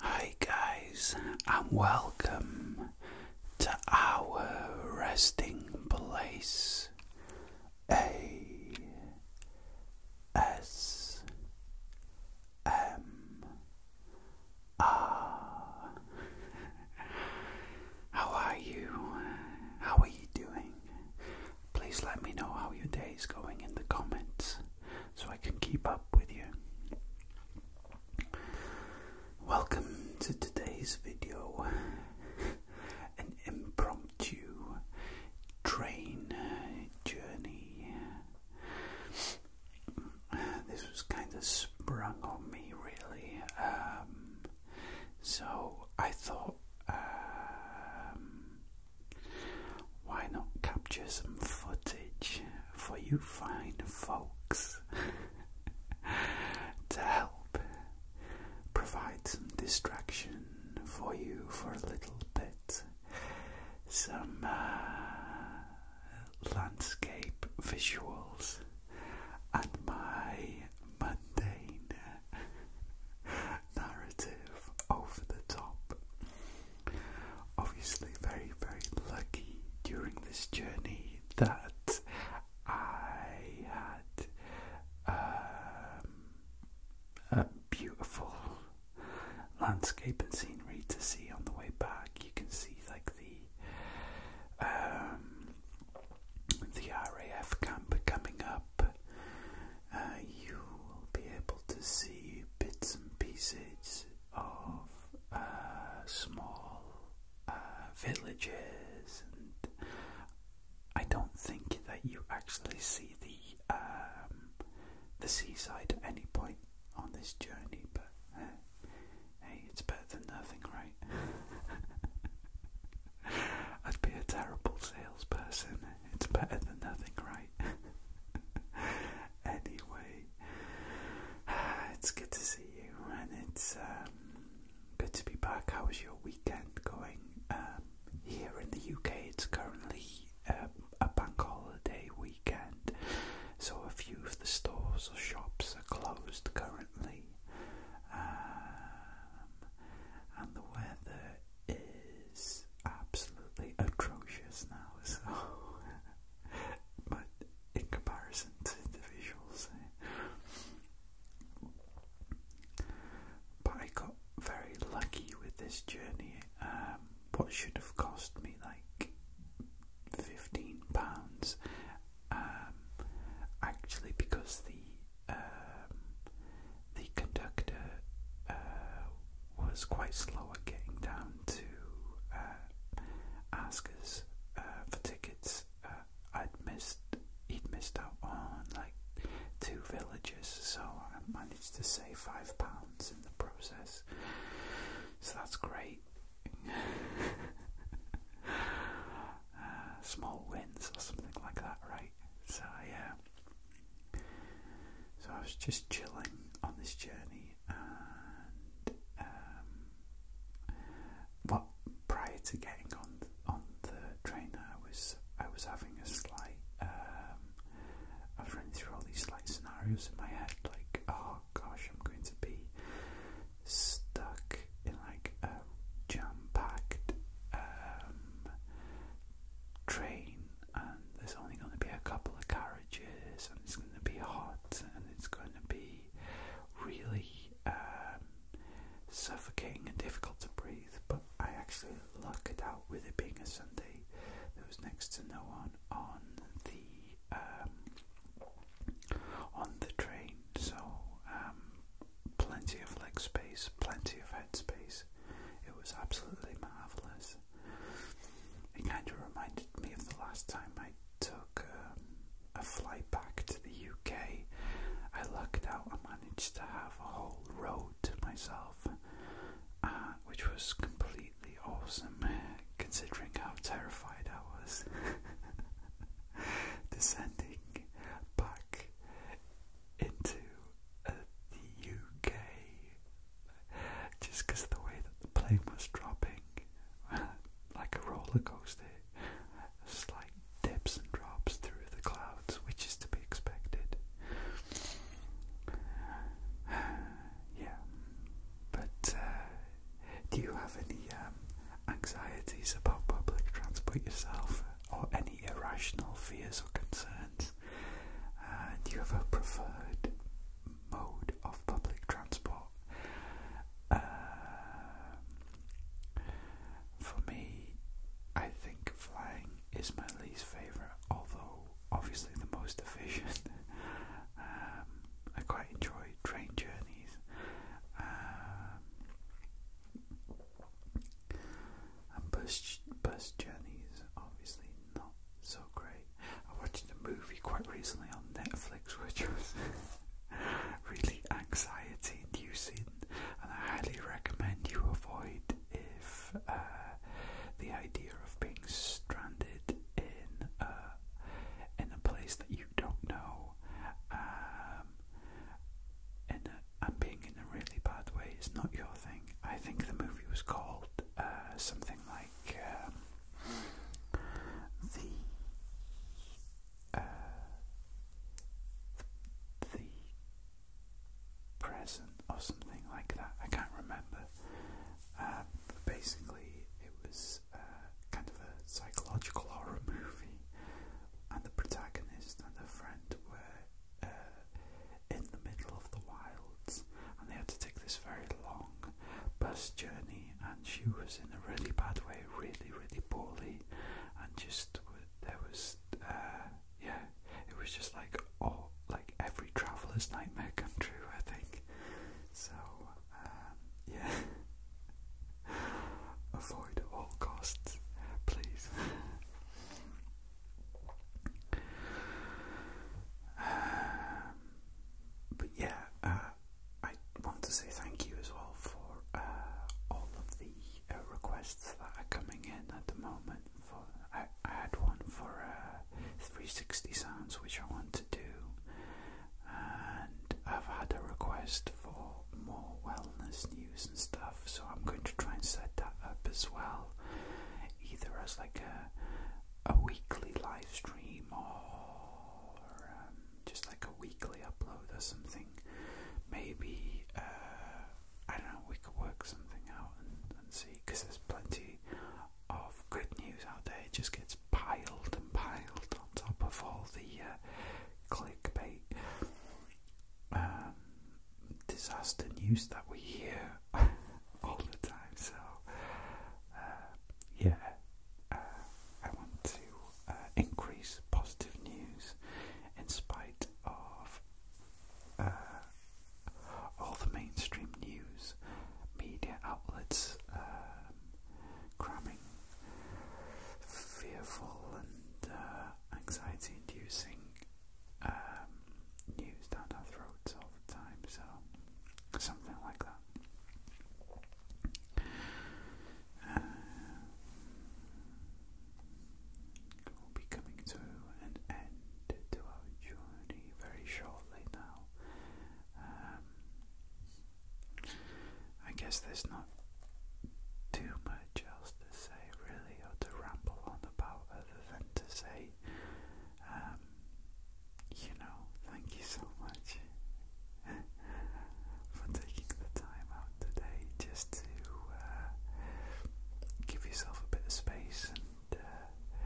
Hi guys, and welcome to our resting place A S M R. How are you? How are you doing? Please let me know how your day is going in the comments so I can keep up with you. Welcome to today's video an impromptu train journey. This was kind of sprung on me, really. Um, so I thought um, why not capture some footage for you fine folks to help provide some distraction for you for a little bit? Some uh, landscape visuals and my mundane narrative over the top. Obviously, very, very lucky during this journey that I had um, a beautiful landscape and scenery to see on the way back. You can see like the um, the RAF camp coming up. Uh, you will be able to see bits and pieces of uh, small uh, villages, and I don't think that you actually see the um, the seaside at any point on this journey, but. Hey, it's better than nothing, right? I'd be a terrible salesperson. It's better than nothing, right? anyway, it's good to see you, and it's um, good to be back. How was your weekend going? Um, here in the UK, it's currently uh, a bank holiday weekend, so a few of the stores or shops are closed currently. Um, and the weather is absolutely atrocious now, so but in comparison to the visuals, eh. but I got very lucky with this journey. Um, what should have cost me like £15 um, actually because the um, the conductor uh, was quite slow at getting down to uh, ask us uh, for tickets. I'd missed he'd missed out on like two villages, so I managed to save five pounds in the process. So that's great. Uh, small wins or something like that, right? So yeah. So I was just chilling on this journey, and um, well, prior to getting on on the train, I was I was having a slight. Um, I was running through all these slight scenarios in my head, like, oh gosh, I'm going to be stuck in like a jam-packed um, train, and there's only going to be a couple of carriages, and it's going to be hot, and it's going to be really um, suffocating and difficult to breathe. But I actually lucked out with it being a Sunday. There was next to no one on the um, on the train, so um, plenty of leg space, plenty of head space. It was absolutely marvellous. It kind of reminded me of the last time I took um, a flight back to the UK. I lucked out I managed to have a whole road to myself, uh, which was completely awesome considering how terrified I was. descending back into uh, the UK just because of the way that the plane was dropping, like a roller coaster, just like dips and drops through the clouds, which is to be expected. yeah, but uh, do you have any um, anxieties about public transport yourself, or any irrational fears or concerns? And uh, you have a preferred mode of public transport? Uh, for me, I think flying is my least favourite, although obviously the most efficient. Um, I quite enjoy train journeys. Um, bus, bus journeys, obviously not so great. I watched a movie quite recently on Netflix which was really anxiety inducing, and I highly recommend you avoid if uh, the idea of being stranded in a uh, in a place that you don't know, um, and and uh, being in a really bad way is not your thing. I think the movie was called uh, something like um, the. the present or something like that. I can't remember. Uh, basically, it was uh, kind of a psychological horror movie, and the protagonist and her friend were uh, in the middle of the wilds, and they had to take this very long bus journey. And she was in a really bad way, really, really poorly, and just there was, yeah, it was just like all like every traveler's nightmare come true, I think. So um, yeah, avoid all costs, please. Um, but yeah, uh, I want to say thank you as well for uh, all of the uh, requests that are coming in at the moment for I, had one for uh, 360 sounds which I want to do, and I've had a request for more wellness news and stuff, so I'm going to try and set that up as well, either as like a a weekly live stream or um, just like a weekly upload or something. Maybe uh, I don't know. We could work something out and see because there's plenty of good news out there. It just gets piled and piled on top of all the uh, clickbait um, disaster news that we hear all the time. So, uh, yeah, uh, I want to increase positive news in spite of uh, all the mainstream news media outlets um, cramming fearful and uh, anxiety-inducing um, news down our throats all the time. So something like that. Uh, will be coming to an end to our journey very shortly now. Um, I guess there's not too much else to say, really, or to ramble on about, other than to say, um, you know, thank you so much for taking the time out today just to uh, give yourself a bit of space and uh,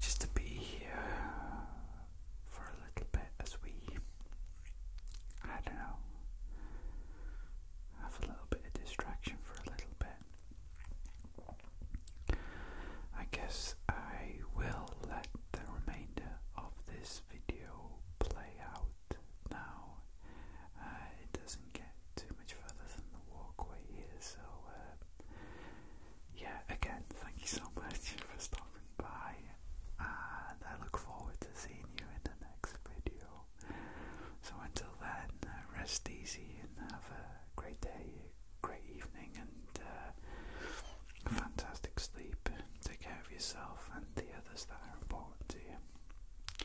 just to be here for a little bit as we, I don't know, have a little bit of distraction for a little bit. I guess I will let the remainder of this video play out now. Uh, it doesn't get too much further than the walkway here, so uh, yeah, again, thank you so much for stopping by, and I look forward to seeing you in the next video. So until then, uh, rest easy and have a great day, great evening, and fantastic sleep. Take care of yourself and the others that are important to you.